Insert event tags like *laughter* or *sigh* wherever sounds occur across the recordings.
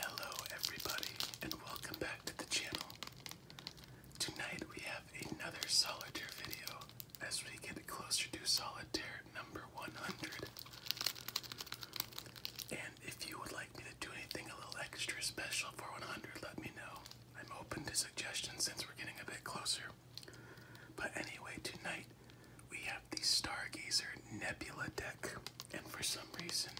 Hello, everybody, and welcome back to the channel. Tonight we have another solitaire video as we get closer to solitaire number 100. And if you would like me to do anything a little extra special for 100, let me know. I'm open to suggestions since we're getting a bit closer. But anyway, tonight we have the Stargazer Nebula deck, and for some reason,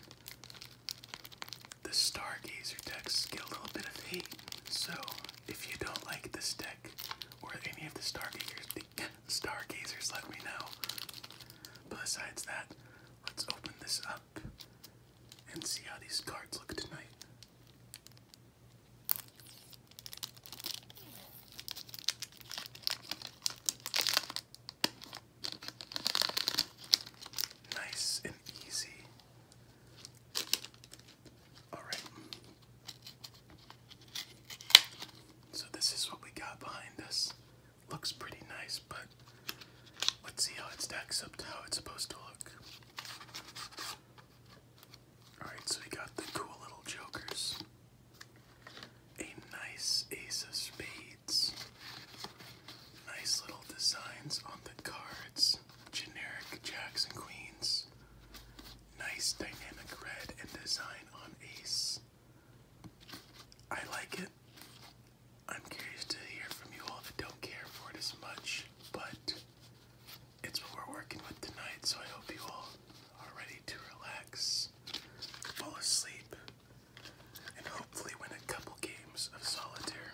the Stargazer decks get a little bit of hate. So if you don't like this deck or any of the Stargazers, *laughs* Stargazers, let me know. But besides that, let's open this up and see how these cards look tonight. Nice and easy. All right. So this is what we got behind us. Looks pretty nice, but let's see how it stacks up to how it's supposed to look. Alright, so we got the cool little jokers. A nice ace of spades. Nice little designs on the cards. Generic jacks and queens. Nice dynamic red and design on ace. I like it. I'm curious to hear from you all that don't care for it as much, but it's what we're working with tonight, so I hope you all are ready to relax fall asleep, and hopefully win a couple games of solitaire.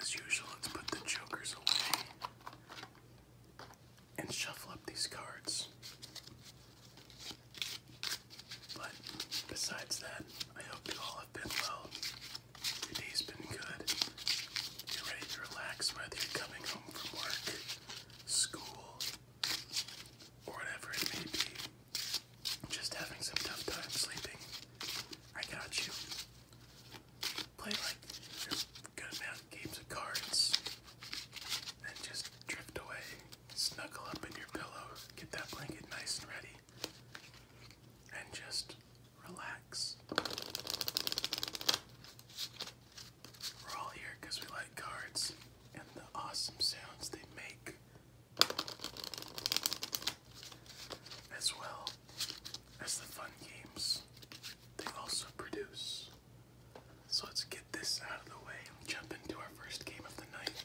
As usual, let's put the jokers away and shuffle up these cards. But besides that, I hope you all have been well. Your day's been good. You're ready to relax whether you're coming home from work school, or whatever it may be, just having some tough time sleeping, I got you. Play like your good amount of games of cards, and just drift away. Snuggle up in your pillow, get that blanket nice and ready, and just relax. We're all here because we like cards and the awesome sounds they make. As well as the fun games they also produce. So let's get this out of the way and jump into our first game of the night.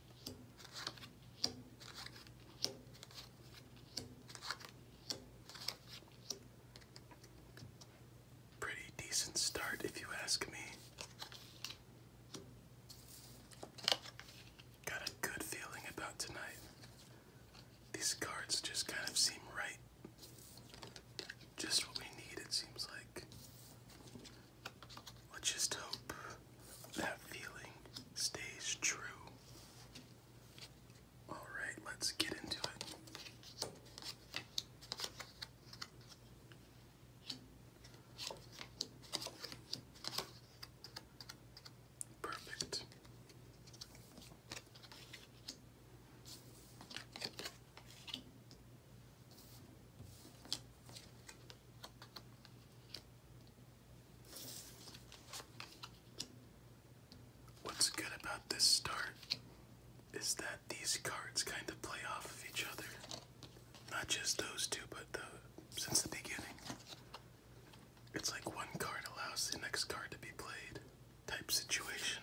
Pretty decent start, if you ask me. Got a good feeling about tonight. These cards just kind of seem right. Just what we need, it seems like. Let's just hope that feeling stays true. Alright, let's get into it. Perfect. What's good about this start is that these cards kind of play off of each other. Not just those two, but the, since the beginning. It's like one card allows the next card to be played, type situation.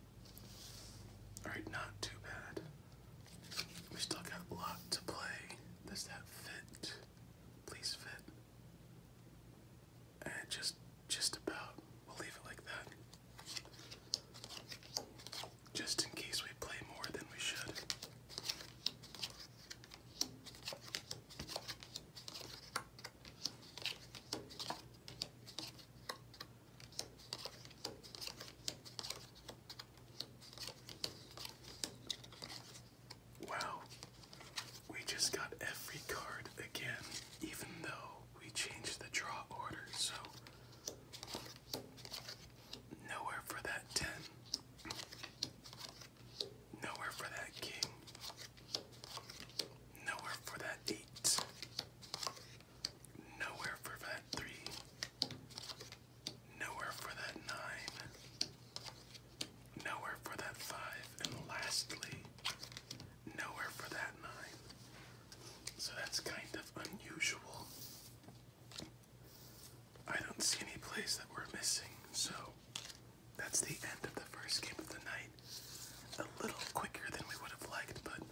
Alright, not too bad. We still got a lot to play. Does that fit? Please fit. And just just about. We'll leave it like that. Just in case we play more than we should. Wow, we just got every card again, even though we changed the draw order, so nowhere for that 10, nowhere for that king, nowhere for that 8. Nowhere for that three. Nowhere for that nine. Nowhere for that five. And lastly, nowhere for that nine. So that's kind of unusual. I don't see any place that we're missing, so that's the end of the first game of the night. A little quicker than we would have liked, but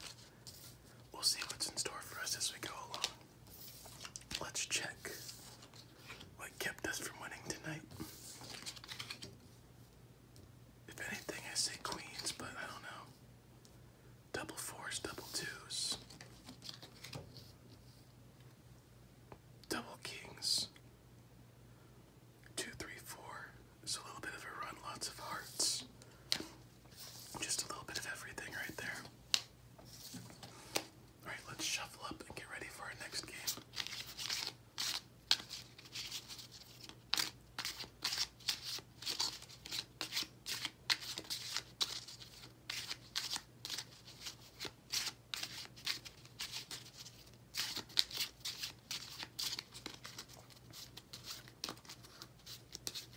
We'll see what's in store for us as we go along. Let's check what kept us from winning tonight. If anything, I say queens, but I don't know. Double fours, double twos, double kings. Two, three, four. It's a little bit of lots of hearts. Just a little bit of everything right there. Alright, let's shuffle up and get ready for our next game.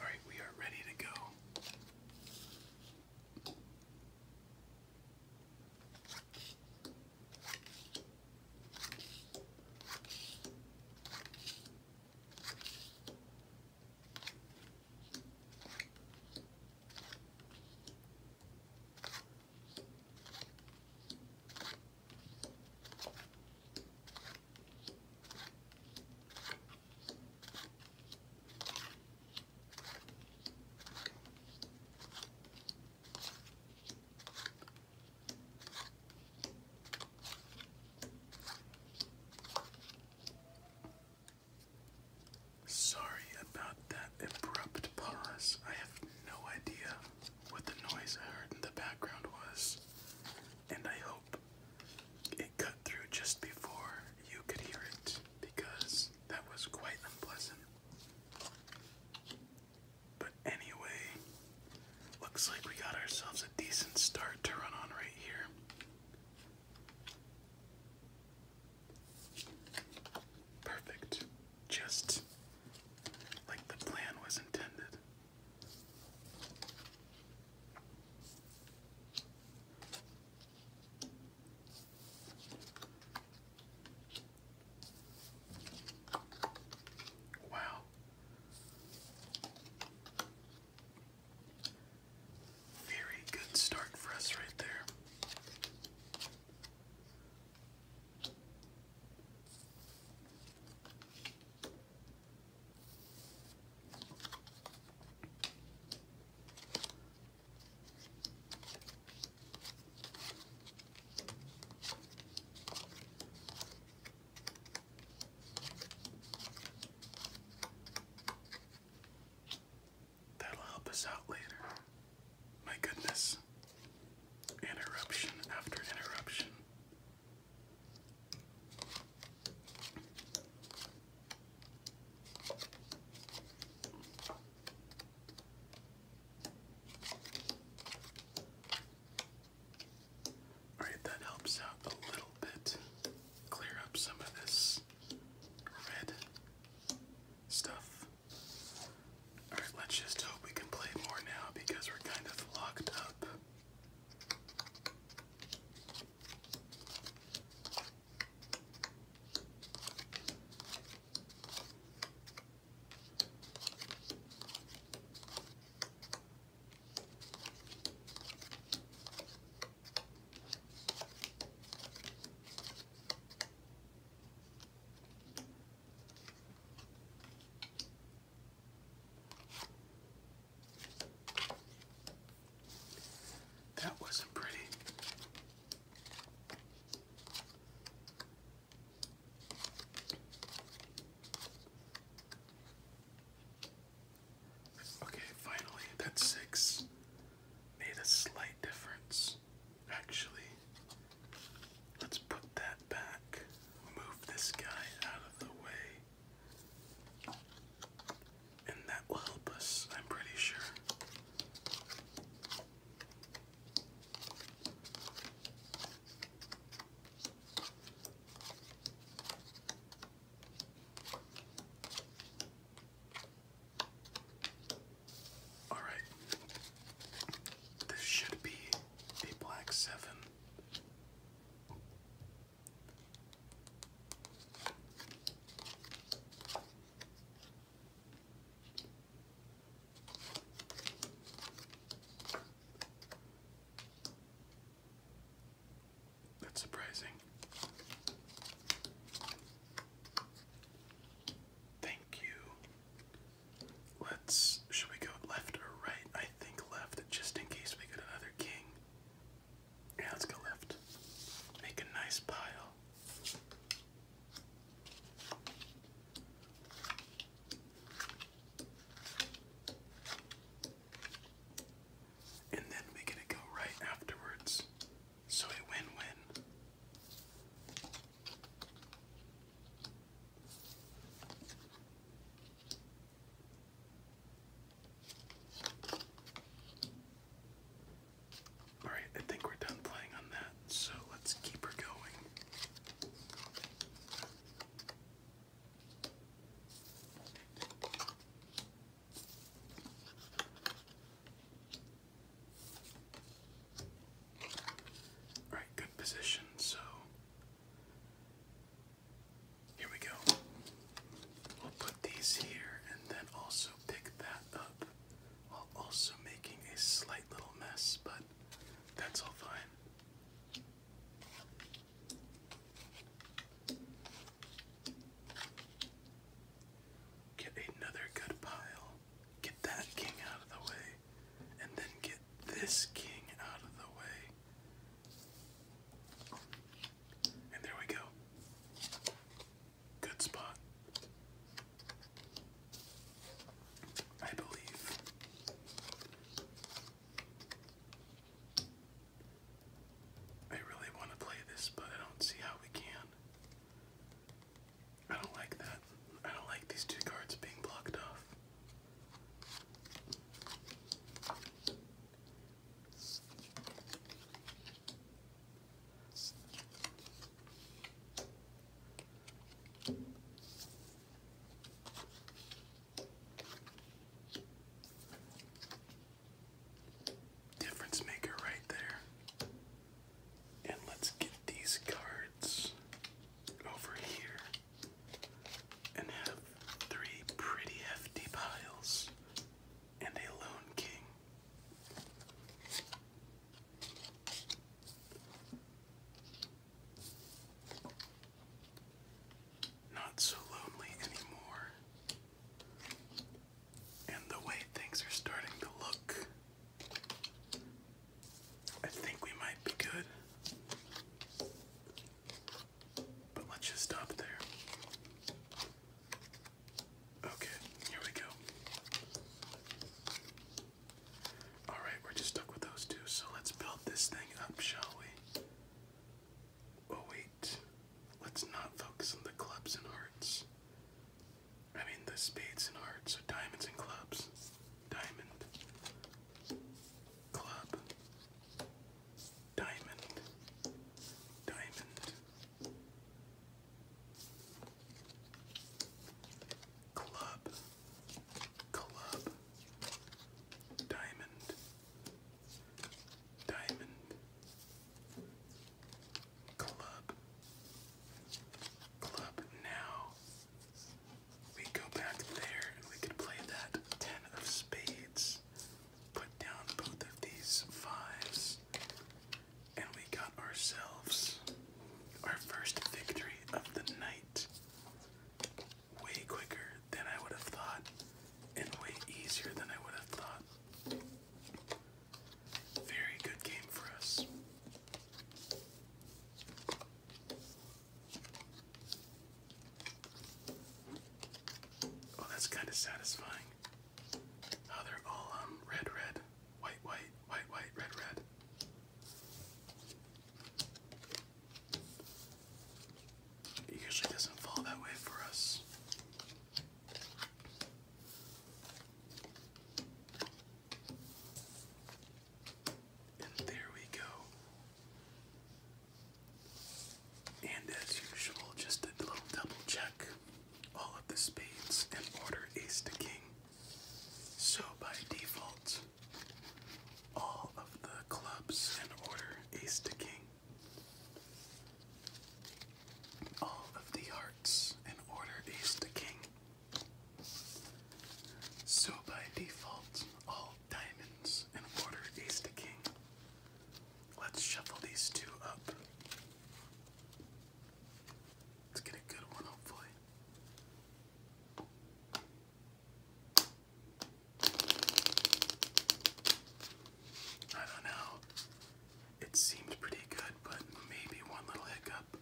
All right, we are ready to go. Sorry about that abrupt pause. I have no idea what the noise I heard in the background was, and I hope it cut through just before you could hear it because that was quite unpleasant. But anyway, looks like we got ourselves a decent start to run on right here. Perfect. Just like the plan was intended. Wow. Very good start for us right there. That'll help us out later. My goodness. Interruption after interruption. Alright, that helps out a little bit. Clear up some of this red stuff. Alright, let's just hope we can play more now because we're kind of locked up. That wasn't pretty. Okay, finally, that six made a slight difference. Actually, let's put that back move this guy out of the way. And that will help us, I'm pretty sure. All right, this should be a black seven. That's surprising. Thank you Let's. Should we go left or right? I think left, just in case we get another king. Yeah, let's go left. Make a nice pile. And then we get to go right afterwards. So a win win. All right, I think we're done playing on that, so let's keep her going. All right, good position. So here we go. We'll put these here and then also pick that up while also making a slight little mess, but that's all fine. Get another good pile. Get that king out of the way and then get this king out of the way. And there we go. Good spot. I believe. I really want to play this, but I don't see how we can. I don't like that. I don't like these two cards being blocked off. Difference maker right there. And let's get these cards over here and have three pretty hefty piles and a lone king. Not so lonely anymore. And the way things are starting to look, I think we might be good. But let's just stop there. Okay, here we go. Alright, we're just stuck with those two, so let's build this thing up, shall we? Oh, wait. Let's not focus on the clubs and hearts. I mean, the spades and hearts, so diamonds and clubs diamond, club, diamond, diamond, club, club, diamond, diamond, club. Club now we go back there and we could play that ten of spades. Put down both of these fives, and we got ourselves our first victory of the night. Way quicker than I would have thought, and way easier than I would have thought. Very good game for us. Oh, that's kind of satisfying. oh, they're all um red, red, white, white, white, white, red, red. It usually doesn't fall that way for us. And there we go. And as usual, just a little double check all of the spades and order ace to king. So by default, all of the clubs and order ace to king. All of the hearts and order ace to king. So by default, all Diamonds and water, ace to king. Let's shuffle these two up. Let's get a good one, hopefully. I don't know. It seemed pretty good, but maybe one little hiccup.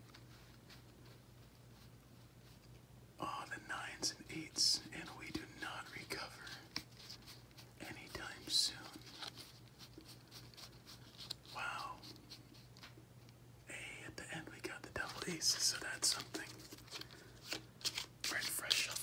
Ah, the nines and eights, and we do not recover anytime soon. Wow. Hey, at the end we got the double aces, so that's something. Right, shuffle.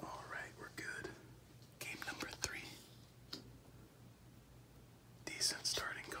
All right, we're good. Game number three. Decent starting card.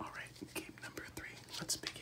All right, game number three. Let's begin.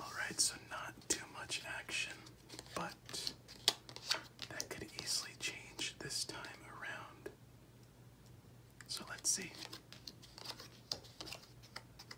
All right, so not too much action, but that could easily change this time around. So let's see.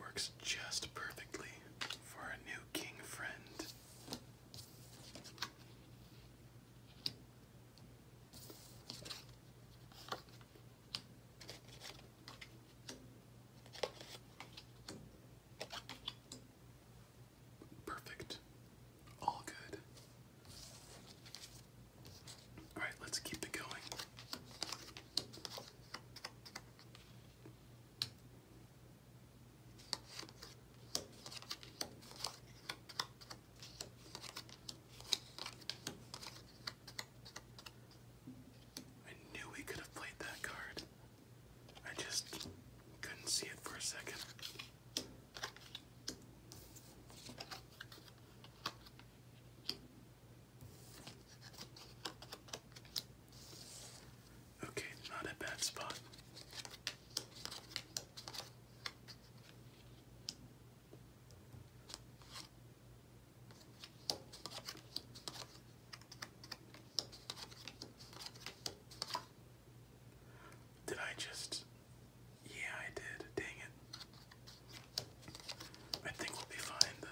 Works just perfectly for a new king friend. Perfect. All good. All right, let's keep it going. I knew we could have played that card. I just couldn't see it for a second. Okay, not a bad spot. Did I just? Yeah, I did. Dang it. I think we'll be fine though.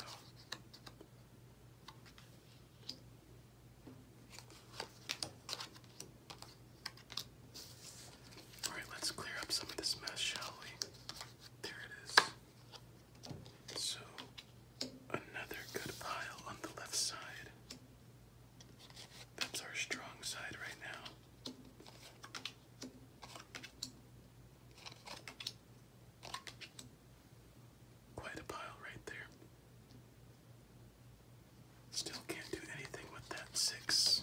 Alright, let's clear up some of this mess, shall we? There it is. So, another good pile on the left side. That's our strong side right now. Quite a pile right there. Still can't do anything with that six.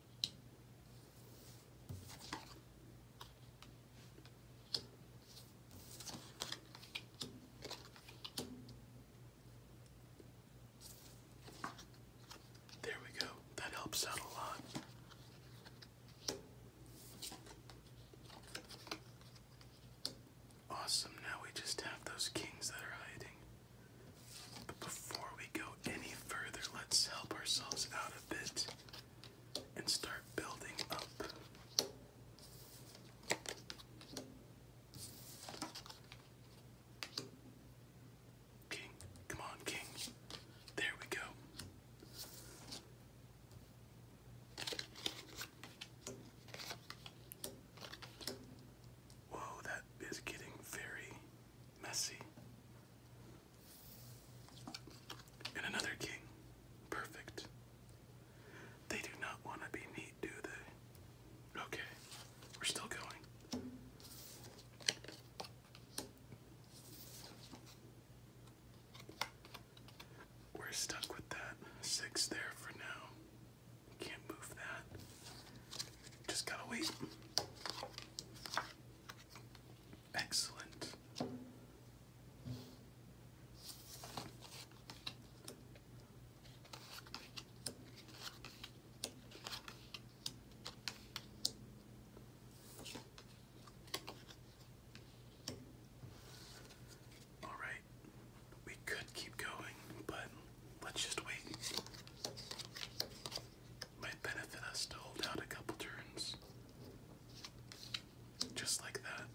There we go. That helps out a lot. Awesome. Now we just have those kings that are hiding. But before we go any further, let's help ourselves out a bit and start building up. King, come on, King. There we go. Whoa, that is getting very messy. And another king. Perfect. They do not want to be neat, do they? Okay, we're still going. We're stuck with that six there for now. Can't move that. Just gotta wait. Excellent. All right, we could keep going, but let's just wait. Might benefit us to hold out a couple turns. Just like that.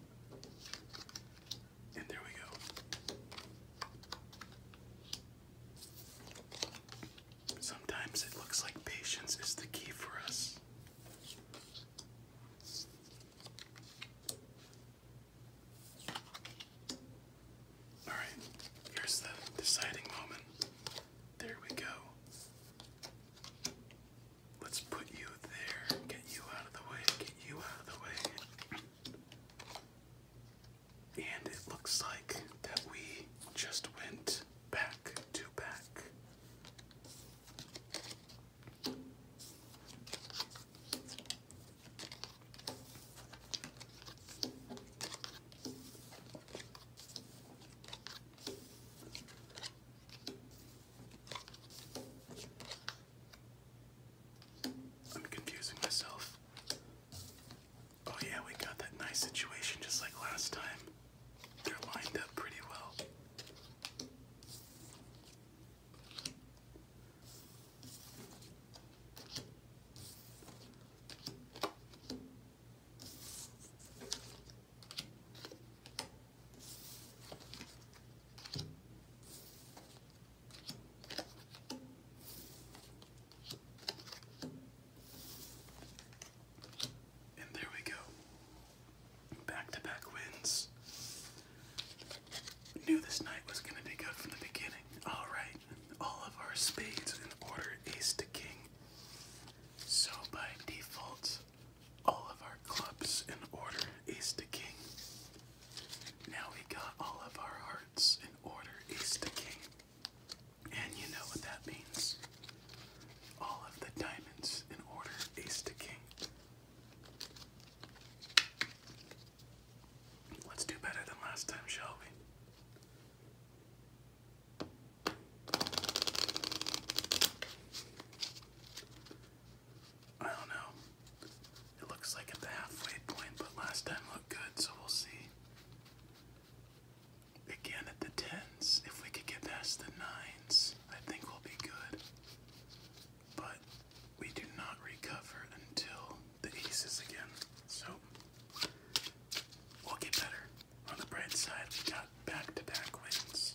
And there we go. Sometimes it looks like patience is the key for us. All right, here's the deciding moment. There we go. Let's put you there. Get you out of the way. Get you out of the way. And it looks like that we just went back to back. I'm confusing myself. Oh, yeah, we got that nice situation just like last time. They're lined up pretty well. And there we go. Back to back wins. Knew this night was going to be good from the beginning. Alright, all of our spades in order ace to king. So by default, all of our clubs in order, ace to king. Now we got all of our hearts in order, ace to king. And you know what that means. All of the diamonds in order, ace to king. Let's do better than last time, shall we? I don't know. It looks like at the halfway point, but last time looked good, so we'll see. Again at the tens, if we could get past the nines, I think we'll be good. But we do not recover until the aces again, so we'll get better. On the bright side, we got back to back wins.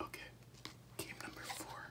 Okay, game number four.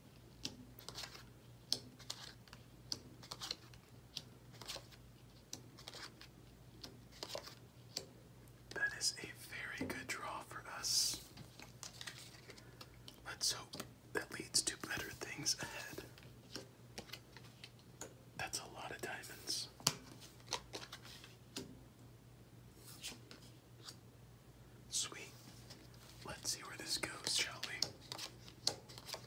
That is a very good draw for us. Let's hope that leads to better things ahead. That's a lot of diamonds. Sweet. Let's see where this goes, shall we?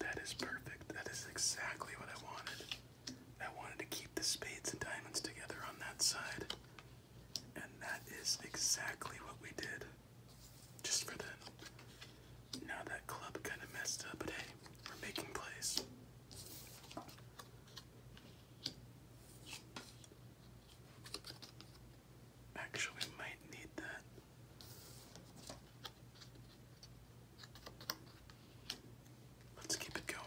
That is perfect. That is exactly what I wanted. I wanted to keep the spades and diamonds together on that side. And that is exactly what we did. Just for the. Now that club kind of messed up, but hey, we're making plays. Actually, might need that. Let's keep it going.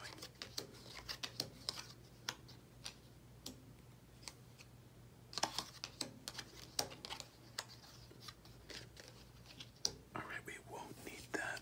All right, we won't need that.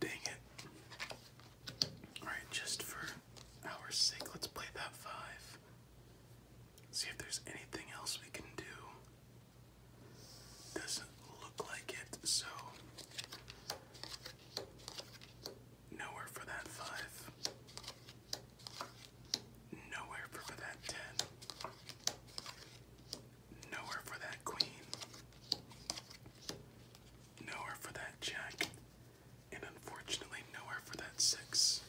Dang it. Alright, just for our sake, let's play that five. See if there's anything else we can do. Doesn't look like it, so nowhere for that five. Nowhere for that ten. Nowhere for that queen. Nowhere for that jack. And unfortunately, nowhere for that six.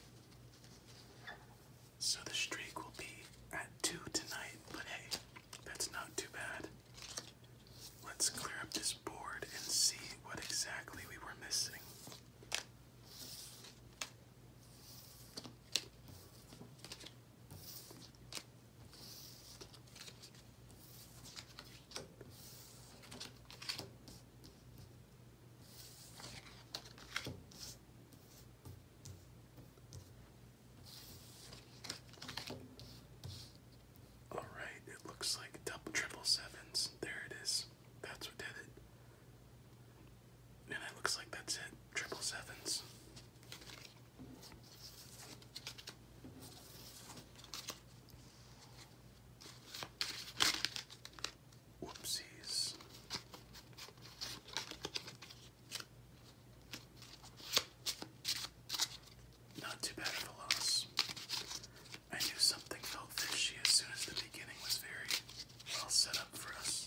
So the streak will be at two tonight, but hey, that's not too bad. Let's clear up this board and see what exactly we were missing. All right, it looks like triple sevens. There it is. That's what did it. And it looks like that's it. Triple sevens. Whoopsies. Not too bad of a loss. I knew something felt fishy as soon as the beginning was very well set up for us.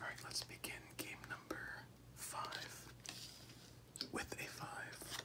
All right, let's begin game number five with a five.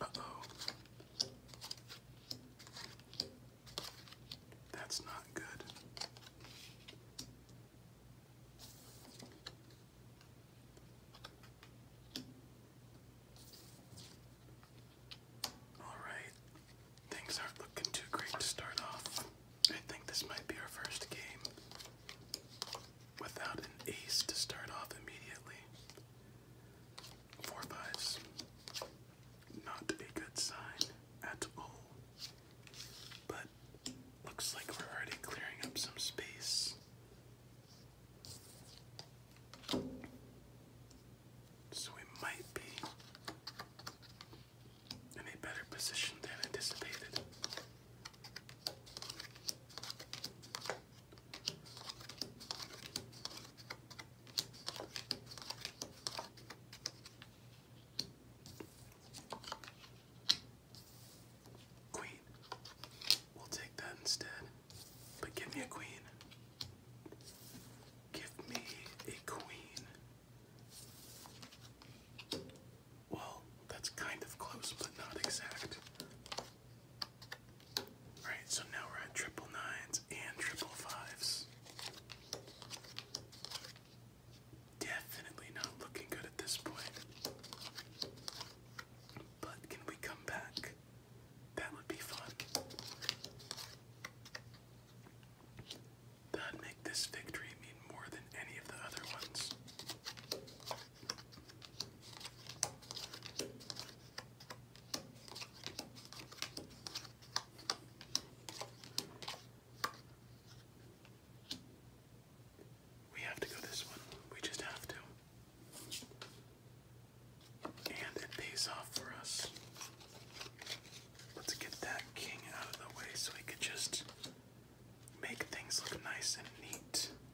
Uh-oh. That's not good. All right. Things aren't looking too great to start off. I think this might be our first game without an ace to start off immediately. Four fives. Not a good sign at all. But looks like we're already clearing up some space. So we might be in a better position than anticipated. Queen. We'll take that instead. But give me a queen. Give me a queen. Well, that's kind of close, but not exact. Alright, so now we're at triple nines and triple fives. Definitely not looking good at this point. But can we come back? That would be fun. That'd make this victory mean more than any of the other ones. We have to go this one. We just have to. And it pays off for us. Let's get that king out of the way so we could just make things look nice and neat.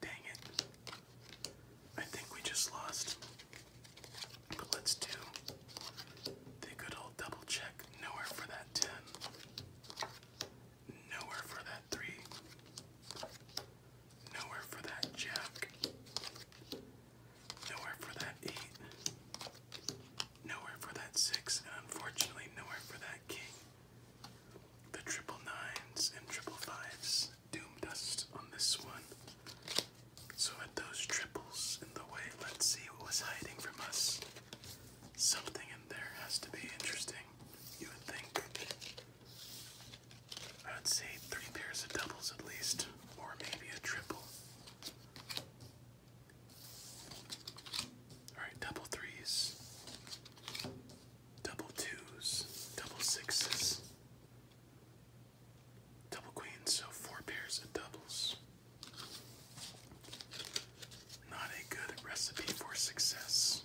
Dang it. I think we just lost. But let's do the good old double check. Nowhere for that 10. Nowhere for that 3. Nowhere for that jack. Nowhere for that eight. Nowhere for that six, unfortunately, nowhere for that king. The triple nines and triple fives doomed us on this one. So, with those triples in the way, let's see what was hiding from us. Something in there has to be interesting, you would think. I would say three pairs of doubles at least, or maybe a triple. Alright, double threes, double twos, double sixes, double queens, so four pairs of doubles. Not a good recipe for success.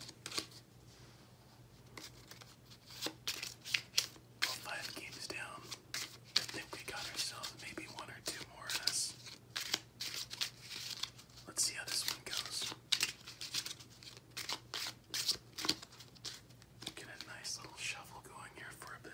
Well, five games down, I think we got ourselves maybe one or two more of this. Let's see how this one goes. Get a nice little shuffle going here for a bit.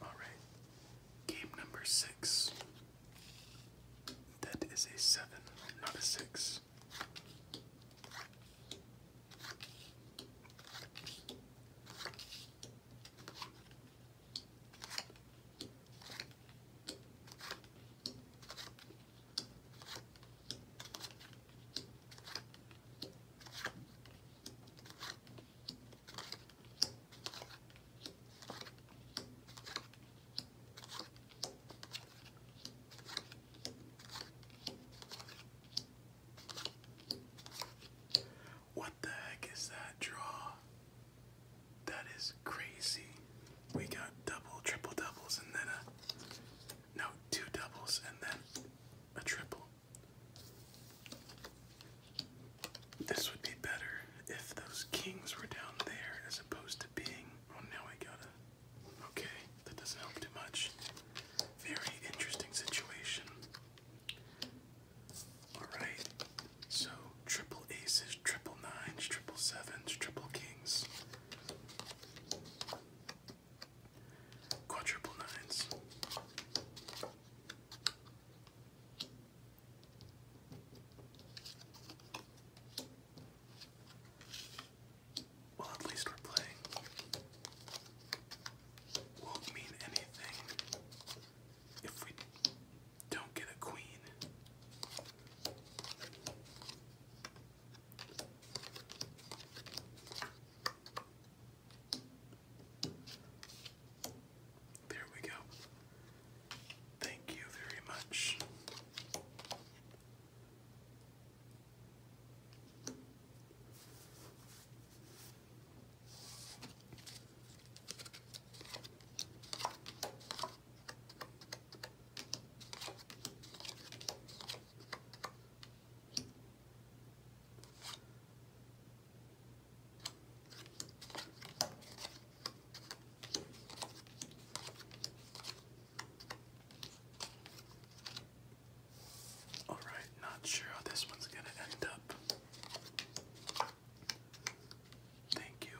All right. Game number six. That is a seven, not a six. What the heck is that draw? That is crazy. We got double, triple doubles, and then a. No, two doubles, and then a triple. This would be better if those kings were down there as opposed to being. Oh, now I gotta. Okay, that doesn't help too much. Very interesting situation. Alright, so triple aces, triple nines, triple sevens, triple kings, quadruple nines. Well, at least we're playing. Won't mean anything if we don't get a queen. There we go. Thank you very much. All right, not sure how this one's going to end up. Thank you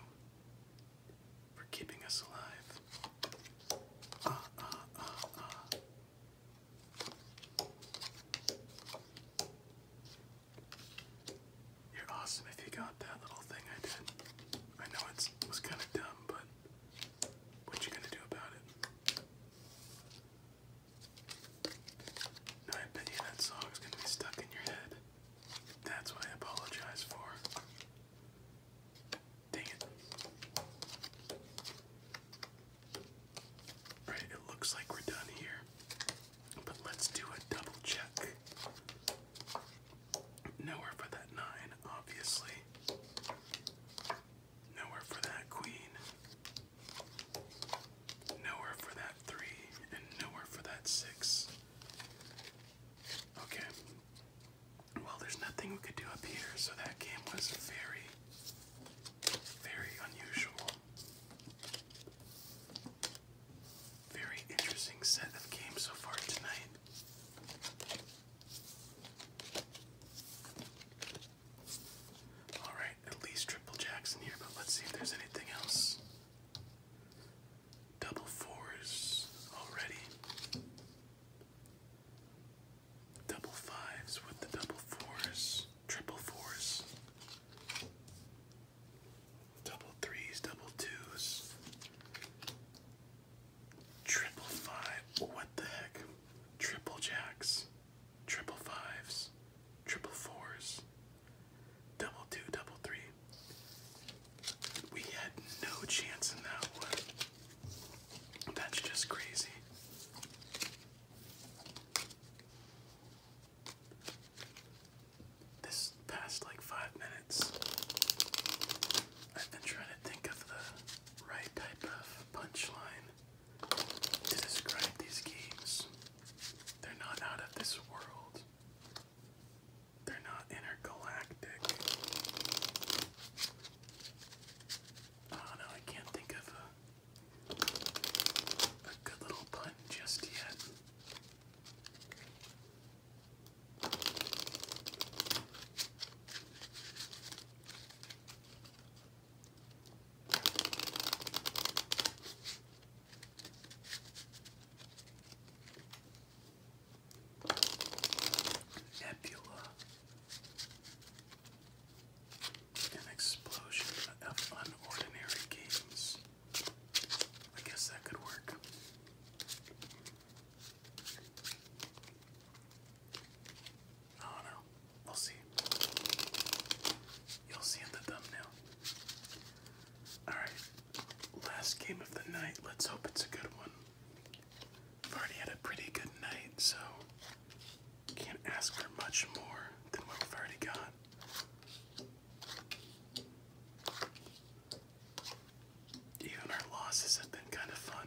for keeping us alive. Uh, uh, uh, uh. You're awesome if you got that little thing I did. I know it was kind of dumb, but what you gonna do about it? Now I bet you that song's gonna be stuck in your head. That's what I apologize for. Dang it. Right, it looks like we're done here. But let's do a double check. Nowhere for that nine, obviously. Nowhere for that queen. Nowhere for that three, and nowhere for that six. Okay. Well, there's nothing we could do up here, so that game was very, very unusual. Very interesting set of games so far tonight. Alright, at least triple jacks in here, but let's see if there's anything else. Double fours already. Double fives with the double fours, triple fours double threes, double twos, triple five. What the heck? Triple jacks, triple fives, triple fours, double two, double three. We had no chance in that one. That's just crazy. This past like five minutes, I've been trying to think of the right type of punchline to describe these games. They're not out of this world, they're not intergalactic. Oh no, I can't think of a, a good little pun just yet. Nebula. An explosion of unordinary games. I guess that could work. I do We'll see. You'll see in the thumbnail. Alright, last game of the night. Let's hope it's a good one. I've already had a pretty good night, so can't ask for much more than what we've already got. Even our losses have been kind of fun.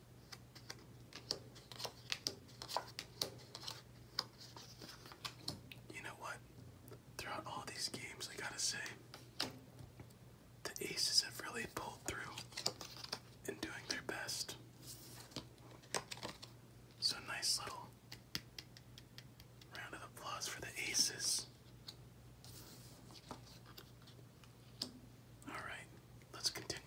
You know what? Throughout all these games, I gotta say, the Aces have really pulled through in doing their best. So, nice little round of applause for the Aces. Alright, let's continue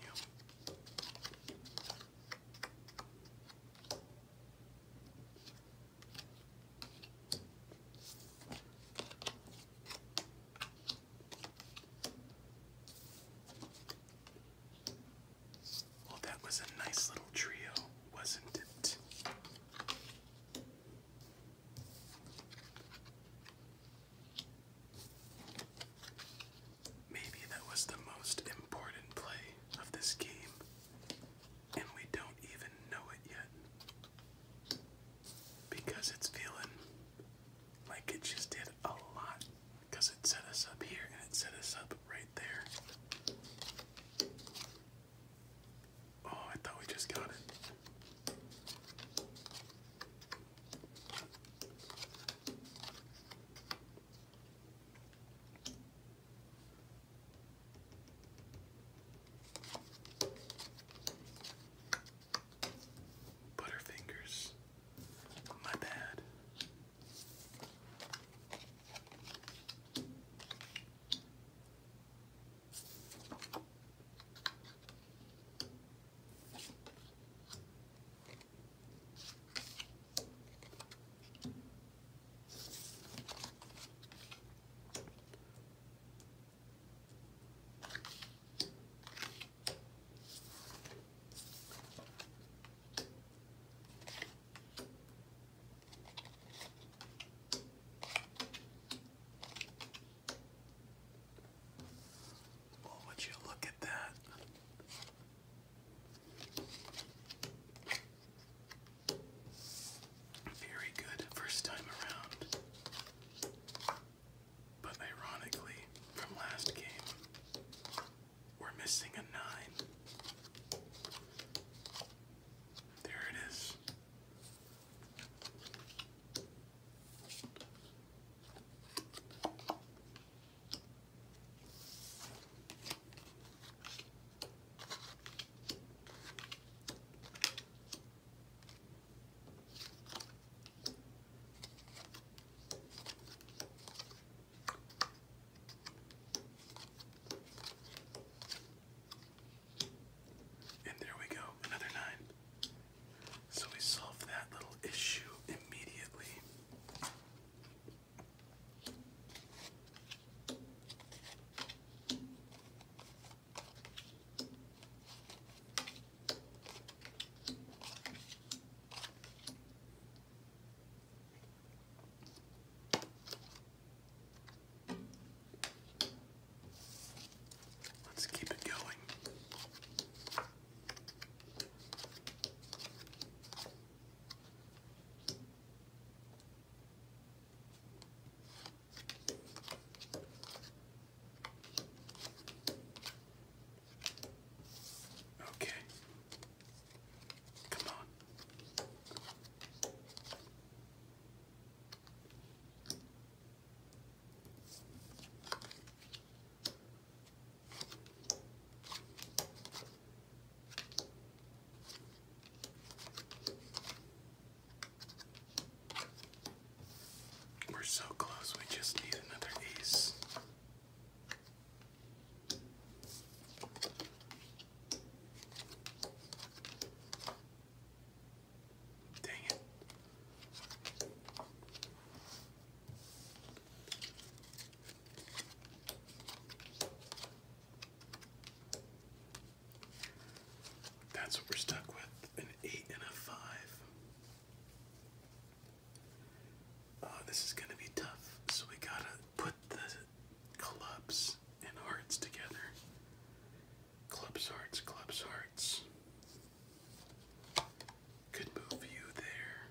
that was a nice little trio, wasn't it? Maybe that was the most important play of this game, and we don't even know it yet. Because it's feeling like it just did a lot, because it set us up here and it set us up right there. Oh, I thought we just got it. Butterfingers. My bad. Oh, would you look at that? Very good first time around. But ironically, from last game, we're missing a 9. There it is. And there we go, another nine. So we solved that little issue immediately. Let's keep it going. Okay. Come on. We're so close, we just need another piece. Dang it. That's what we're stuck with an 8 and a 5. Uh, this is going to be tough, so we gotta put the clubs and hearts together. Clubs, hearts, clubs, hearts. Could move you there.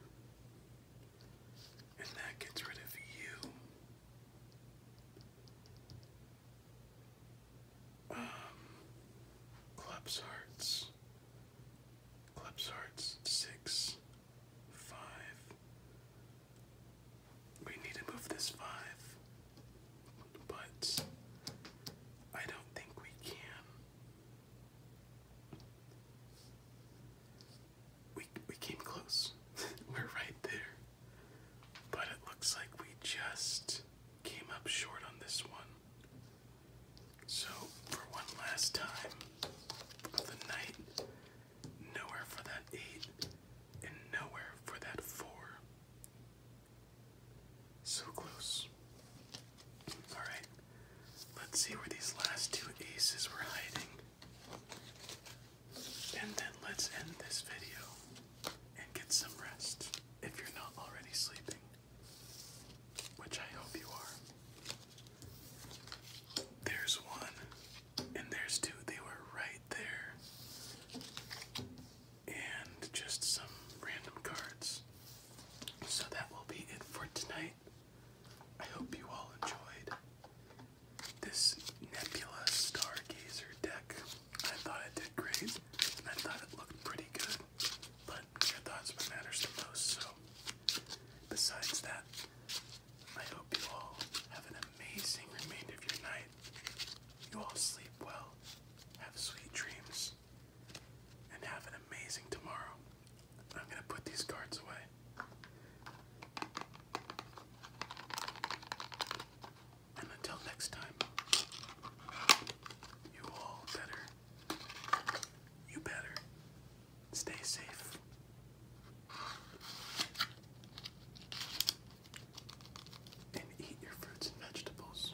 And that gets rid of you. Um, Club's Hearts. Club's Hearts, six, five. We need to move this five, but I don't think we can we we came close. *laughs* We're right there. But it looks like we just came up short on this one. So, for one last time of the night, nowhere for that 8 and nowhere for that 4. So close. Alright, let's see where these last two aces were hiding. And then let's end this video and get some rest if you're not already sleeping, which I hope you are. There's one, and there's two. They were right there. And just some random cards. So that will be it for tonight. I hope you all enjoyed this Nebula Stargazer deck. I thought it did great, and I thought it looked pretty good, but your thoughts what matters the most, so besides that, I hope you all have an amazing remainder of your night. You all sleep well, have sweet dreams, and have an amazing tomorrow. I'm going to put these cards away. And until next time, you all better, you better stay safe. And eat your fruits and vegetables.